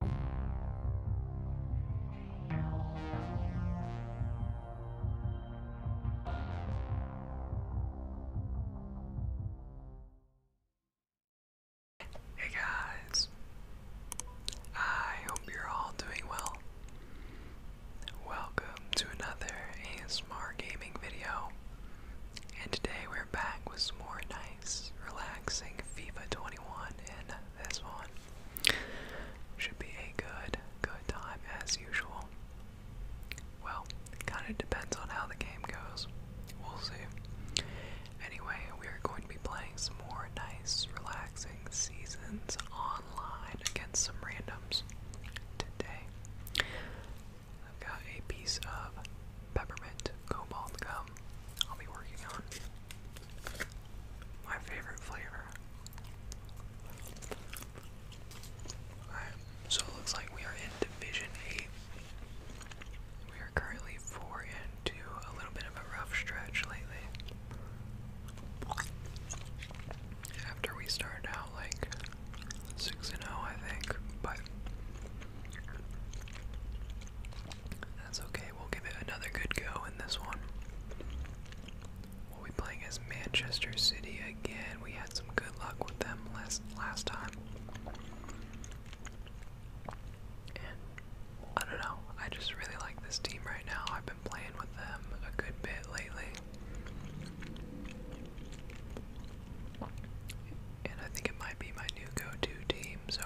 Hey guys, I hope you're all doing well. Welcome to another ASMR gaming video, and today we're back with some more nice, relaxing FIFA 21 and this one. Should be a good, good time as usual. Well, it kind of depends on how the game goes. We'll see. Anyway, we are going to be playing some more nice, relaxing seasons online against some randoms today. I've got a piece of peppermint cobalt gum I'll be working on. My favorite flavor. Alright, so it looks like we are in Division 8. We are currently 4 into a little bit of a rough stretch lately. After we started out like 6 and 0, I think, but that's okay, we'll give it another good go in this one. We'll be playing as Manchester City again. We had some good luck with them last last time. And I don't know, I just really like this team right now. I've been playing with them a good bit lately. And I think it might be my new go to team, so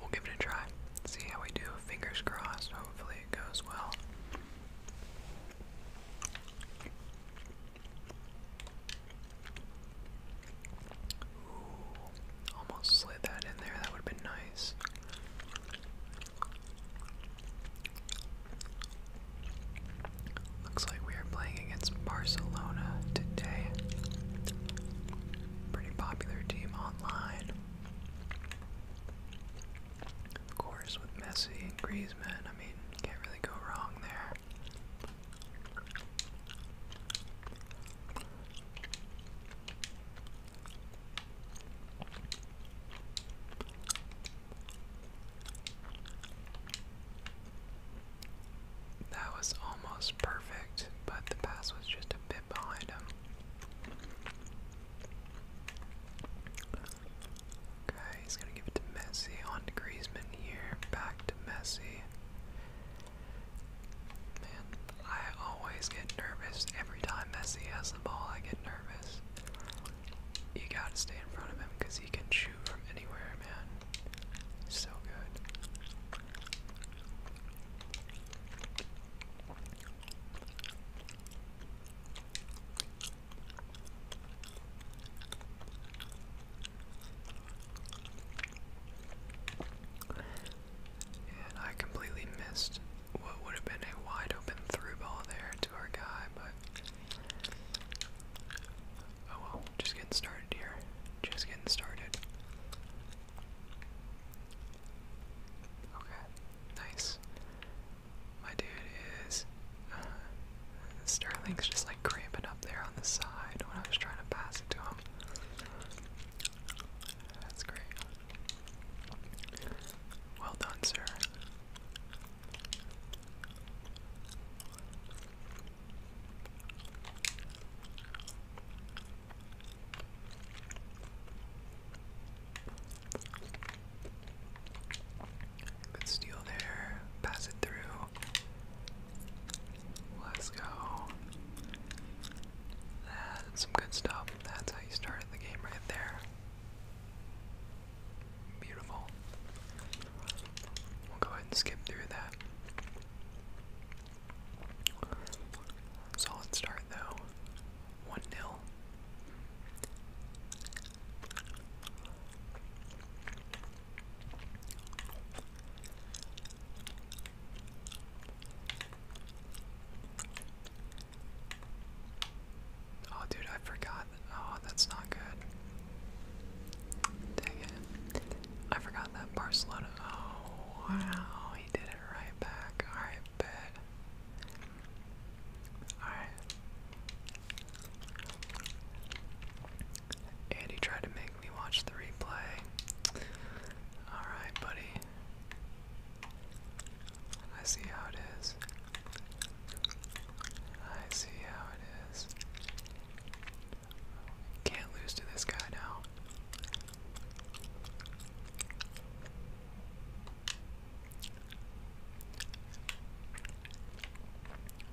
we'll give it a try. See how we do. Fingers crossed. Hopefully it goes well. almost slid that in there. That would have been nice. Looks like we are playing against Barcelona today. Pretty popular team online. Of course, with Messi and Griezmann, I mean, can't really go wrong there. That was almost perfect, but the pass was just a bit behind him. Okay, he's gonna give it to Messi on to Griezmann here. Back to Messi. Man, I always get nervous every time Messi has the ball. I get nervous. You gotta stay in front of him because he can shoot from anywhere, man. So good. And I completely missed what would have been a wide open through ball there to our guy, but oh well, just getting started here. Just getting started. Okay, nice. My dude is. Uh, Sterling's just like cramping up there on the side when I was trying to pass it to him. That's great. Well done, sir. Good steal there. Pass it through. Let's go. That's some good stuff. That's how you started the game right there. Beautiful. We'll go ahead and skip through that. Solid start though. 1 0. Oh, dude, I forgot. Oh, that's not good. Dang it. I forgot that Barcelona. Oh, wow. He did it right back. Alright, bet. Alright. And he tried to make me watch the replay. Alright, buddy. I see how it is. I see how it is. Can't lose to this guy now.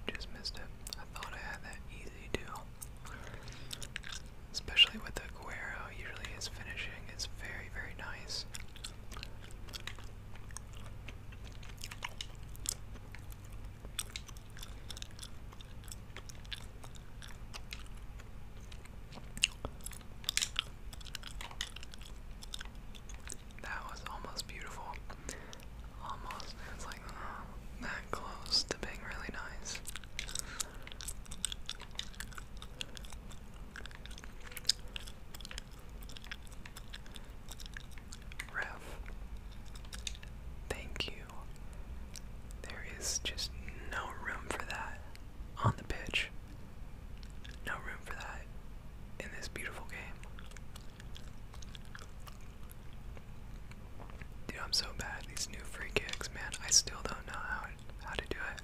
Just missed it. I thought I had that easy too. Especially with Aguero, usually his finishing is very, very nice. That was almost beautiful. Almost. It's like uh, that close to being really nice. Ref, thank you there is just no room for that on the pitch. No room for that in this beautiful game. Dude, I'm so bad at these new free kicks, man. I still don't know how how to do it.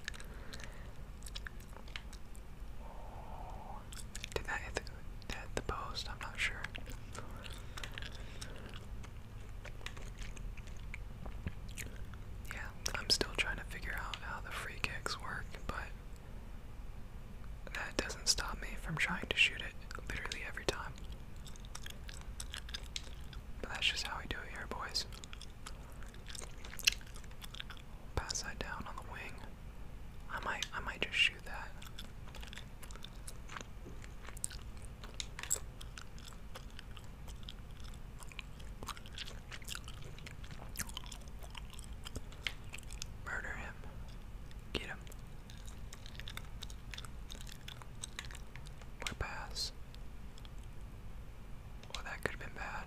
Did that hit hit the post? I'm not sure. Yeah, I'm still trying to figure out how the free kicks work, but that doesn't stop me from trying to shoot it literally every time. But that's just how we do it here, boys. Pass that down on the wing. I might I might just shoot that. Murder him. Get him. Or pass. Well, that could have been bad.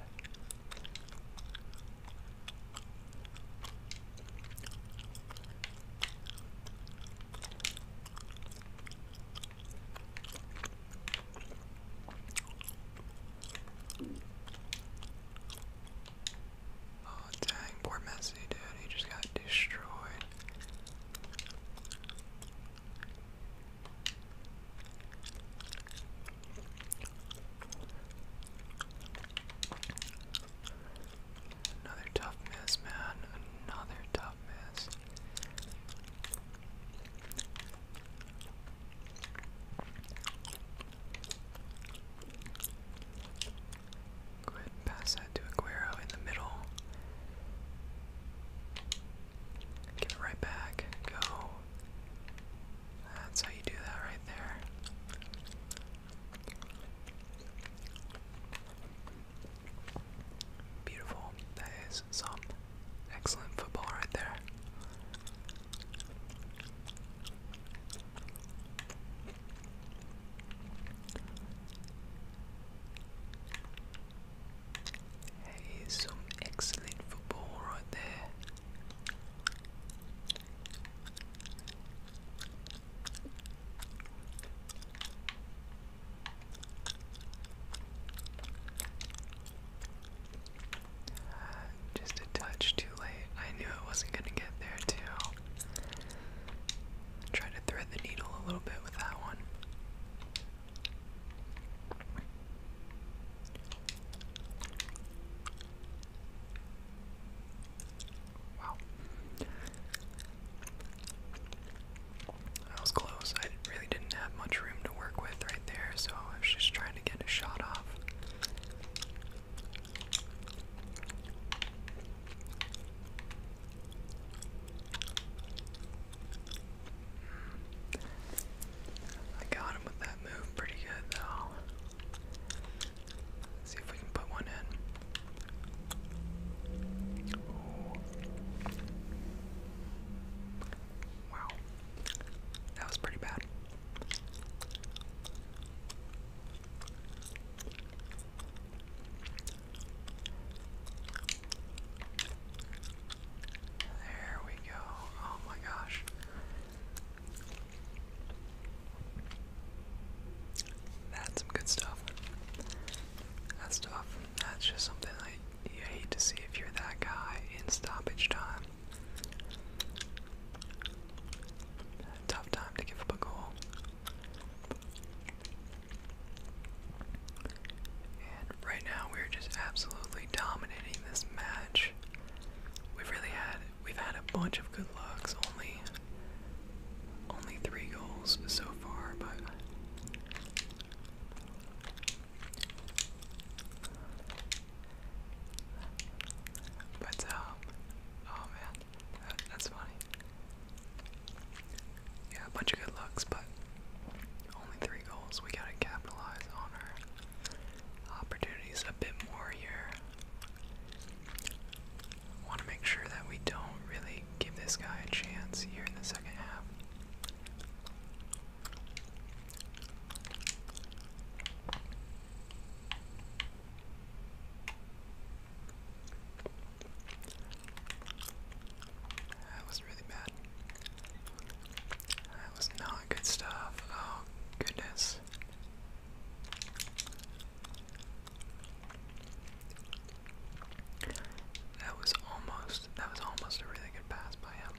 Oh dang, poor Messi dude, he just got destroyed. Another tough miss, man. Another tough pass that to Aguero in the middle. Give it right back. Go. That's how you do that right there. Beautiful. That is some excellent football right there. Hey, some excellent football right there. Just a touch too late. I knew it wasn't gonna get there too. Try to thread the needle a little bit with that one. Wow. I was close. I really didn't have much room to work with right there, so I was just trying to get a shot off. Hmm. I got him with that move pretty good though. see if we can put one in. Wow. That was pretty bad. There we go. Oh my gosh. That's some good stuff. That's tough. That's just something that I hate to see if you're that guy in stoppage time. Tough time to give up a goal. And right now we're just absolutely dominating this match. We've really had we've had a bunch of good looks, only only three goals so far, but but um, oh man, that's funny. Yeah, a bunch of good looks, but only three goals. We gotta capitalize on our opportunities a bit more here. Want to make sure that we don't really give this guy a chance here in the second half. That was really bad. That was not good stuff. Oh, goodness. That was almost that was almost a really good pass by him.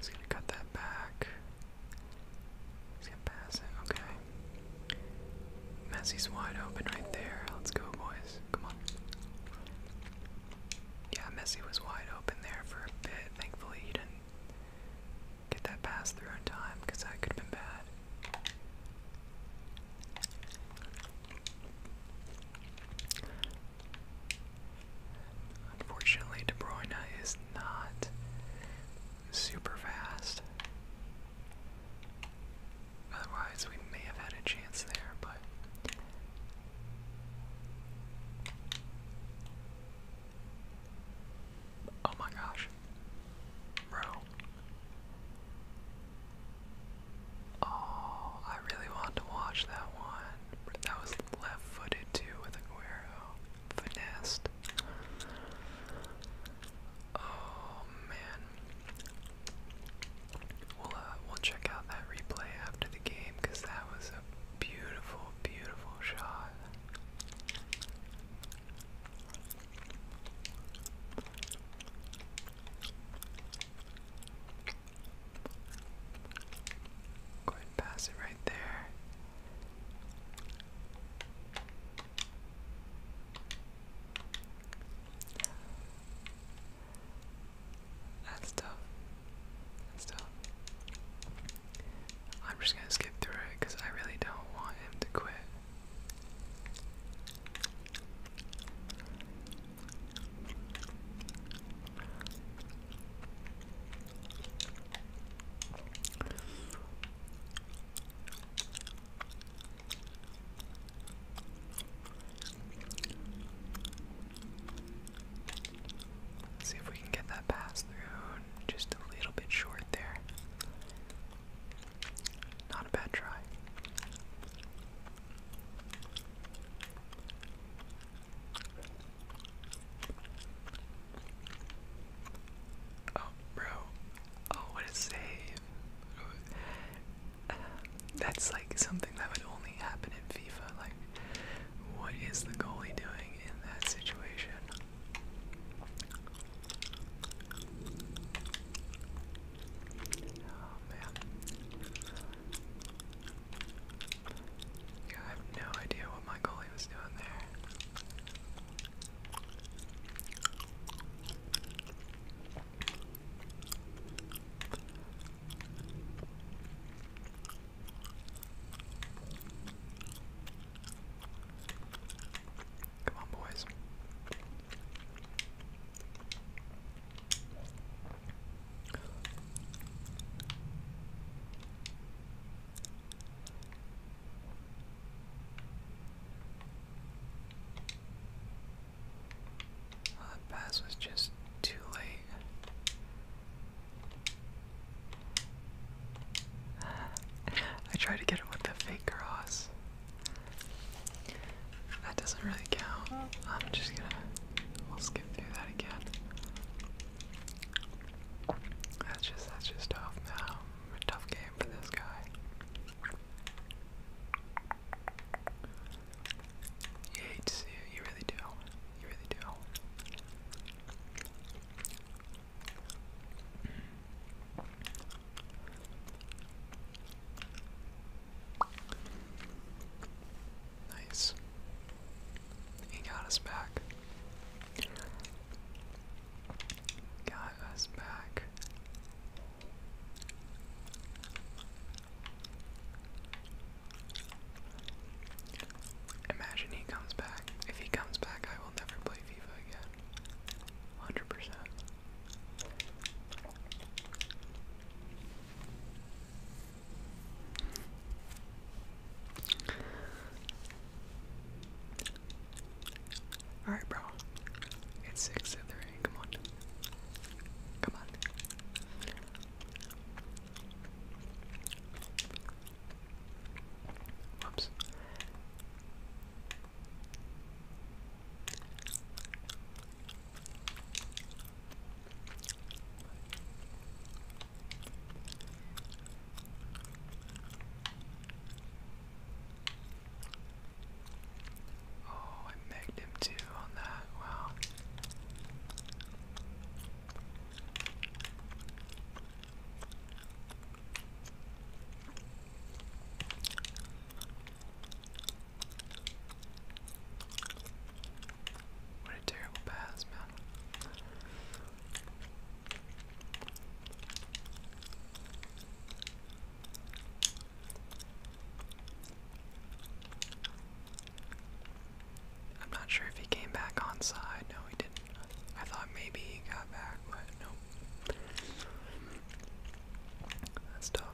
He's gonna cut that back. He's gonna pass it. Okay. Messi's wide open right there. Let's go, boys. Come on. Yeah, Messi was wide open there for a bit. Thankfully, he didn't get that pass through in time because that could have been bad. Unfortunately, De Bruyne is not super fast. Otherwise, we may have had a chance there, but. Oh my gosh. Bro. Oh, I really wanted to watch that one. That was left footed too with Aguero. Finesse. Oh man. We'll uh, we'll check out that replay after the game because that was a beautiful, beautiful shot. Go ahead pass it right there. That's tough. That's tough. I'm just gonna skip through it because I really don't want him to quit. Let's see if we can get that pass through. Just a little bit short there. Not a bad try. Oh, bro, Oh, what a save! that's like something that would only happen in FIFA. Like, what is the goalie doing in that situation? Oh man. I have no idea what my goalie was doing there. Come on, boys that pass was just too late. I tried to get him with the fake cross. That doesn't really count. I'm just gonna. We'll skip through that again. That's just that's just off now. A tough game for this guy. You hate to see it, you really do. You really do. Nice. He got us back. God Imagine he comes back. If he comes back, I will never play FIFA again. 100%. Alright, bro. It's six and three. Come on. Come on. Whoops. Oh, I megged him on that. Wow. What a terrible pass, man. I'm not sure if he came back onside. No, he didn't. I thought maybe he got back, but nope. That's tough.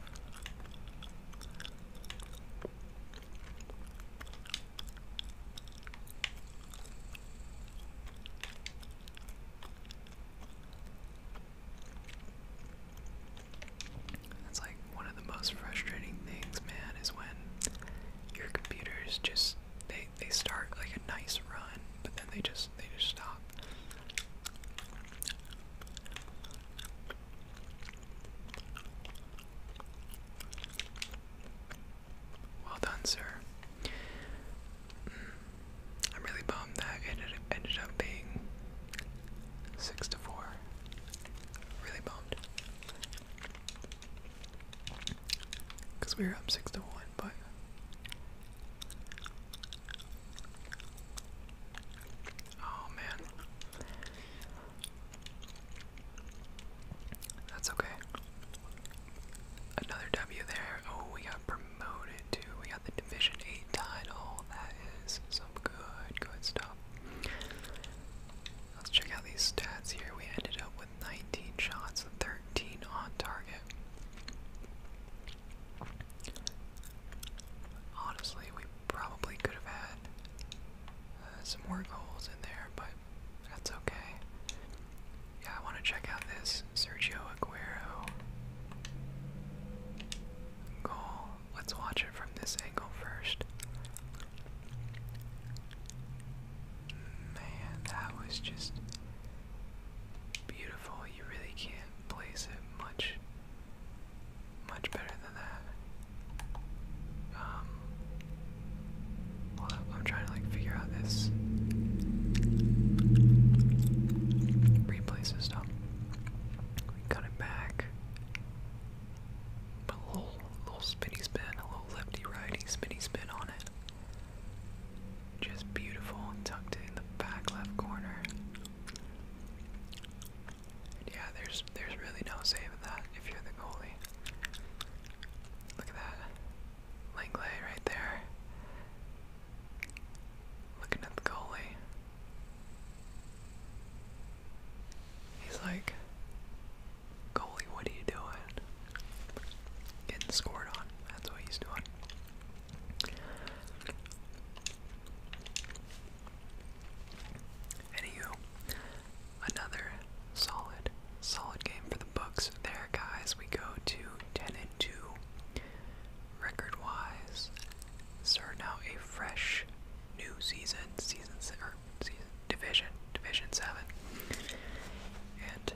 That's like one of the most frustrating things, man, is when your computers just they they start like a nice run, but then they just they just stop. Well done, sir. Hmm. I'm really bummed that it ended up being six to four. Really bummed. Cause we were up six to one, but oh man, that's okay another W there. Oh, we got promoted to. We got the Division 8 title. That is some good, good stuff. Let's check out these stats here. We ended up with 19 shots, 13 on target. Honestly, we probably could have had uh, some more goals in there, but that's okay. Yeah, I want to check out this Sergio Aguero goal. Let's watch it from this angle first. Man, that was just beautiful. You really can't place it much much better than that. Um I'm trying to like figure out this. Replay cut it back. a little, little spinny spin, a little lefty righty spinny spin on it. Just beautiful, tucked in the back left corner. Yeah, there's there's really no saving that if you're the goalie. Look at that. Langley right there. Looking at the goalie. He's like, Goalie, what are you doing? Getting scored on. That's what he's doing. Anywho, another solid, solid game for the books. There, guys, we go to 10 and 2. Record wise, so now a fresh new season, season, or division, division 7. And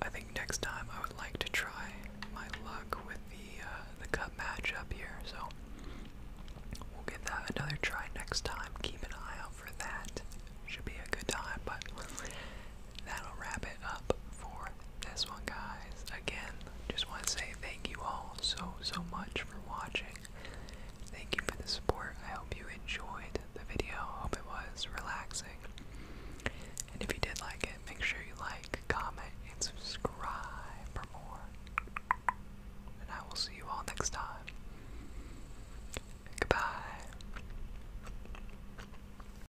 I think next time I would like to try my luck with the, uh, the cup matchup here, so we'll give that another try next time. Keep an eye out for that. Should be a good time, but that'll wrap it up for this one, guys. Again, just want to say thank you all so, so much for watching. Thank you for the support. I hope you enjoyed the video. hope it was relaxing. And if you did like it, make sure you like, comment, and subscribe for more. And I will see you all next time. Goodbye.